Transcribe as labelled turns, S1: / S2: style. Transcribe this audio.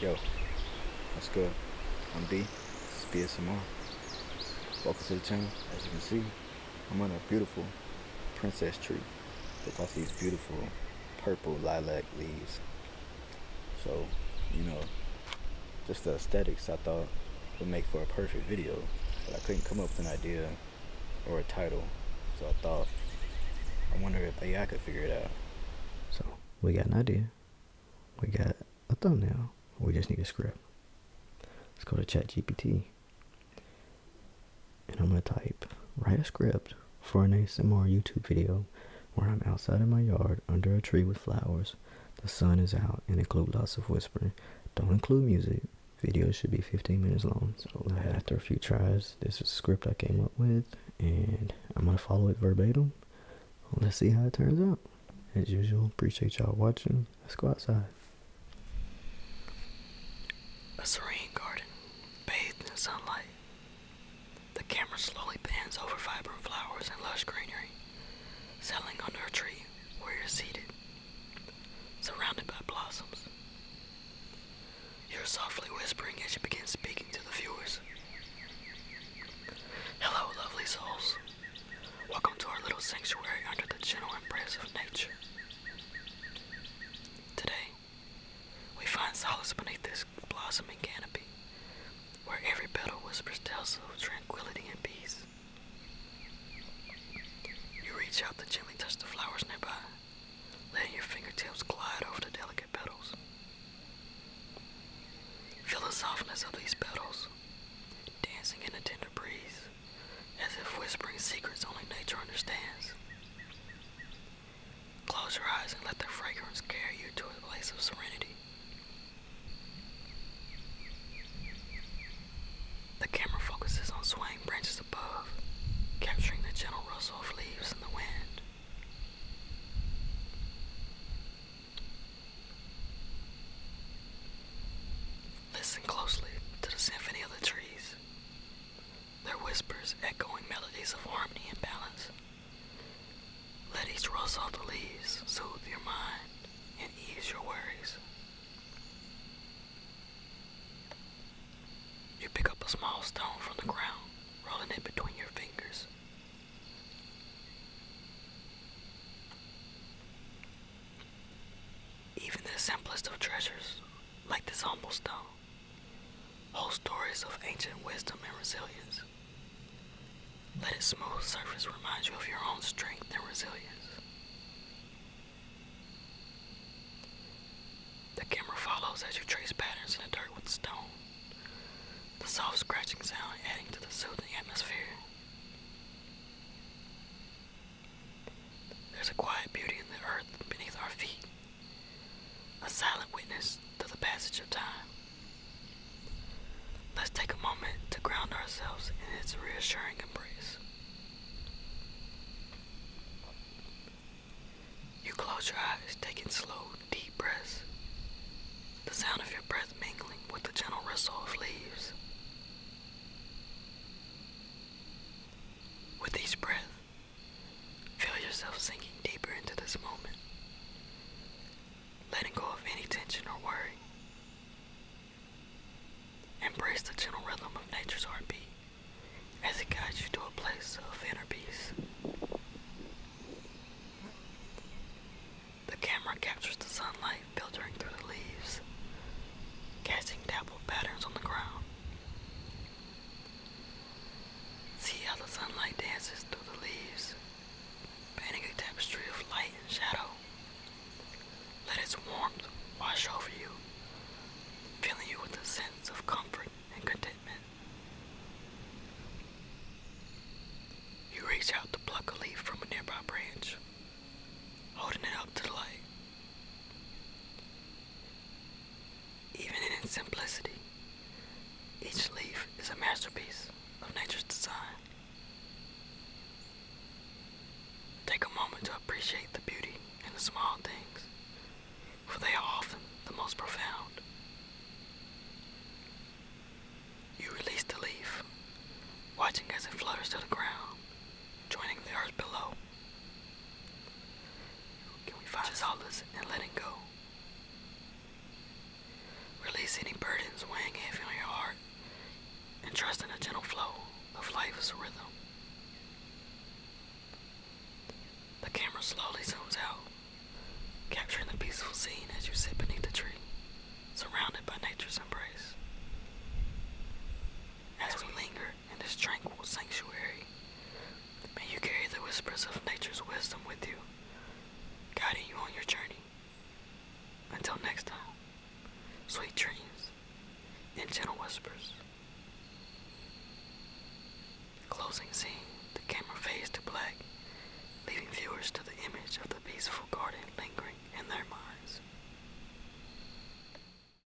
S1: Yo, what's good? I'm D, it's BSMR. Welcome to the channel. As you can see, I'm on a beautiful princess tree that got these beautiful purple lilac leaves. So, you know, just the aesthetics I thought would make for a perfect video, but I couldn't come up with an idea or a title. So I thought, I wonder if AI could figure it out. So we got an idea. We got a thumbnail. We just need a script. Let's go to ChatGPT. And I'm going to type, write a script for an ASMR YouTube video where I'm outside in my yard under a tree with flowers. The sun is out and include lots of whispering. Don't include music. Video should be 15 minutes long. So after a few tries, this is a script I came up with, and I'm gonna follow it verbatim. Let's see how it turns out. As usual, appreciate y'all watching. Let's go outside. A serene garden, bathed in sunlight.
S2: The camera slowly pans over vibrant flowers and lush greenery, settling under a tree where you're seated, surrounded by blossoms. You're softly whispering as you begin speaking to the viewers. Hello, lovely souls. Welcome to our little sanctuary under the gentle embrace of nature. Today, we find solace beneath this blossoming canopy, where every petal whispers tales of tranquility and peace. You reach out to gently touch the flowers nearby, letting your fingertips glide over the delicate petals. Feel the softness of these petals, dancing in a tender breeze, as if whispering secrets only nature understands. Close your eyes and let their fragrance carry you to a place of serenity. The camera focuses on swaying branches above, capturing the gentle rustle of leaves in the wind. Listen closely to the symphony of the trees, their whispers echoing melodies of harmony and balance. Let each rustle of the leaves soothe your mind and ease your worries. You pick up a small stone from the ground, rolling it between your fingers. Even the simplest of treasures, like this humble stone, hold stories of ancient wisdom and resilience. Let its smooth surface remind you of your own strength and resilience. The camera follows as you trace patterns in the dirt with stone, the soft scratching sound adding to the soothing atmosphere. There's a quiet beauty in the earth beneath our feet, a silent witness to the passage of time. Let's take a moment to ground ourselves in its reassuring embrace. You close your eyes, taking slow, deep breaths. The sound of your breath mingling with the gentle rustle of leaves. With each breath, feel yourself sinking deeper into this moment, letting go of any tension or worry. Embrace the gentle rhythm of nature's heartbeat as it guides you to a place of inner peace. The camera captures the sunlight filtering through the leaves, casting dappled patterns on the ground. See how the sunlight dances through the leaves, painting a tapestry of light and shadow. Let its warmth wash over you, filling you with a sense of comfort and contentment. You reach out to pluck a leaf from a nearby branch, holding it up to the light. Even in its simplicity, each leaf is a masterpiece of nature's design. Take a moment to appreciate the beauty in the small things, for they are often the most profound. You release the leaf, watching as it flutters to the ground, joining the earth below can we find and let letting go? Release any burdens weighing heavy on your heart and trust in the gentle flow of life's rhythm. The camera slowly zooms out, capturing the peaceful scene as you sit beneath the tree, surrounded by nature's embrace. As we linger in this tranquil sanctuary, May you carry the whispers of nature's wisdom with you, guiding you on your journey. Until next time, sweet dreams and gentle whispers. Closing scene, the camera fades to black, leaving viewers to the image of the peaceful garden lingering in their minds.